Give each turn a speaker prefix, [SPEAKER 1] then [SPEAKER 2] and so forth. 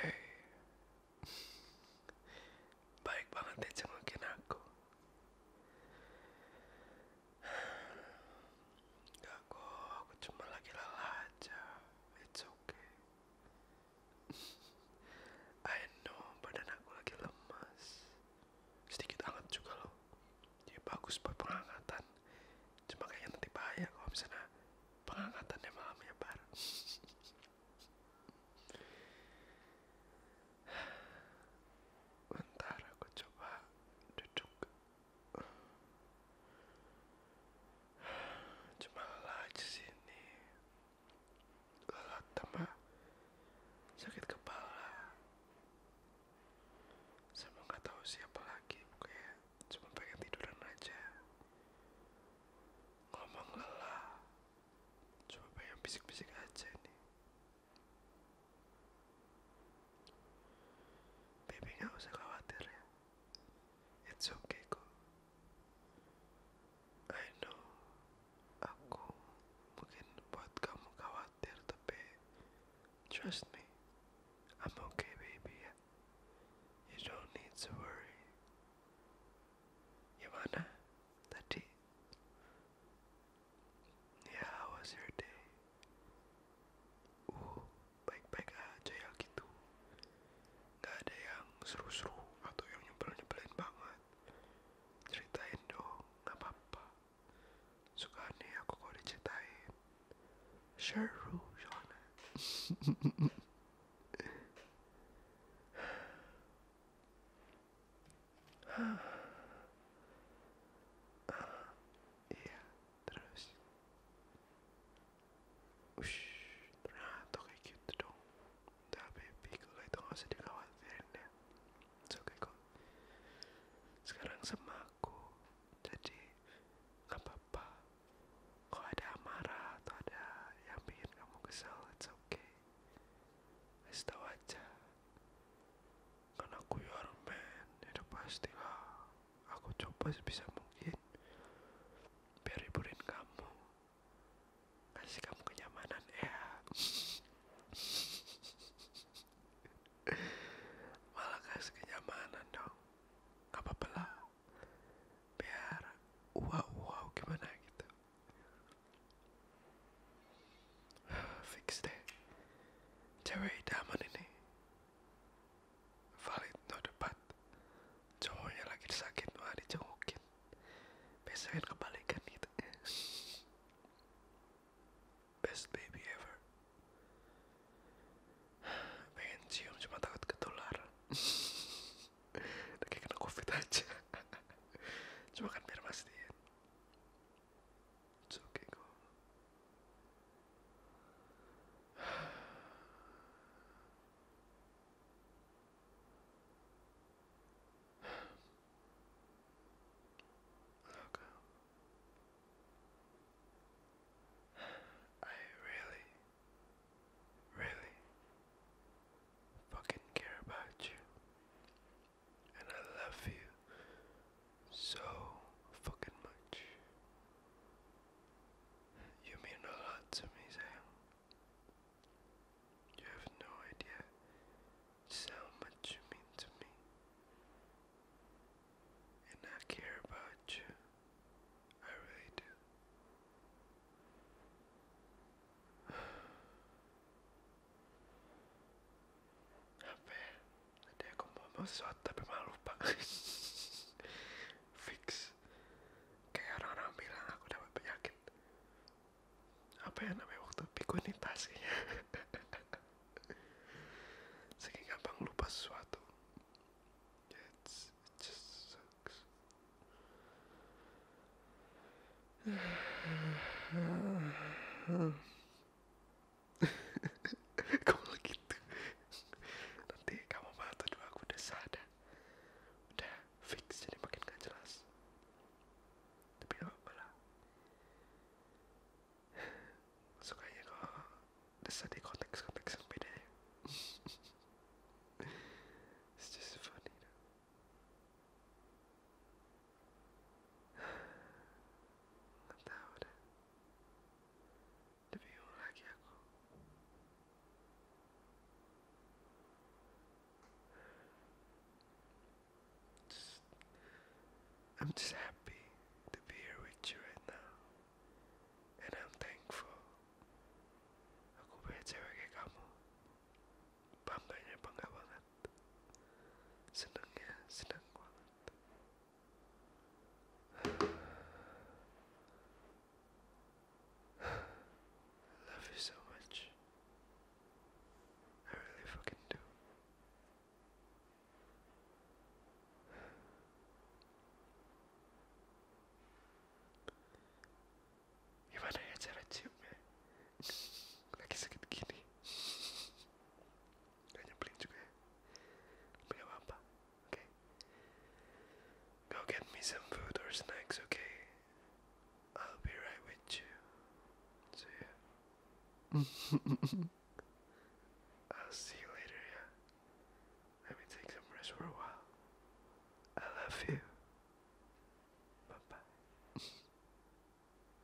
[SPEAKER 1] Hey. Eh. Baik banget deh jengukin aku. Gak aku cuma lagi lelah aja. It's okay. I know badan aku lagi lemas. Sedikit hangat juga loh. Dia bagus buat penghangatan cuma kayak nanti bahaya kalau misalnya pengangkatannya malam ya bar bentar aku coba duduk cuma lelah aja sini lelah tambah sakit kepala sama nggak tahu siapa lagi pokoknya cuma pengen tiduran aja ngomong lelah cuma pengen bisik-bisik aja nih baby nggak usah khawatir ya it's okay kok I know aku mungkin buat kamu khawatir there Trust me, I'm okay, baby. You don't need to worry. Gimana, tadi? The tea? Yeah, how was your day? Uh, baik-baik aja ya gitu. Gak ada yang seru-seru atau yang nyebelin-nyebelin banget. Ceritain dong, gak apa-apa suka aneh aku kalau diceritain seru soalnya iya terus ush ternyata kayak gitu dong udah baby kalau itu gak usah dikhawatirin ya It's kok. Sekarang sama aku. Jadi nggak apa-apa. Kalau ada amarah atau ada yang bikin kamu kesal, it's okay. Kasih tahu aja. Karena aku your ya man, itu pasti lah. Aku coba sebisa mungkin biar hiburin kamu kasih kamu kenyamanan ya malah kasih kenyamanan dong gak apa-apa lah biar wow wow gimana gitu fix deh cewek idaman ini valid no debat cowoknya lagi sakit malah dijengukin gitu. Besoknya kebalikan gitu Best baby ever Pengen cium cuma takut ketular Udah kayak kena covid aja Cuma kan biar mastiin It's okay kok Okay. I really, really fucking care about you. And I love you so fucking much. You mean a lot to me, Sam. You have no idea how much you mean to me. And I care about you. I really do. Aferin. Até como uma sorte pra maluca. Fix. kayak orang-orang bilang aku dapat penyakit apa yang namanya waktu pikunitas kayaknya saking gampang lupa sesuatu It's, it kamu lagi gitu nanti kamu malah tuduh aku udah sadar udah fix jadi makin gak jelas tapi gak apa lah sukanya kok desa di konteks-konteks yang beda ya it's just funny you nggak tahu Nabihin I'm just happy to be here with you right now. And I'm thankful. Aku punya cewek kayak kamu. Bangganya bangga banget. Senangnya senang banget. I Love you so much. I really fucking do. Ivana yeter açayım mı? Like second guinea. Ganyan plane juga ya. Tapi gak apa-apa. Oke. Okay. Go get me some food or snacks, okay? I'll be right with you. See ya. I'll see you later, yeah? Let me take some rest for a while. I love you. Bye-bye.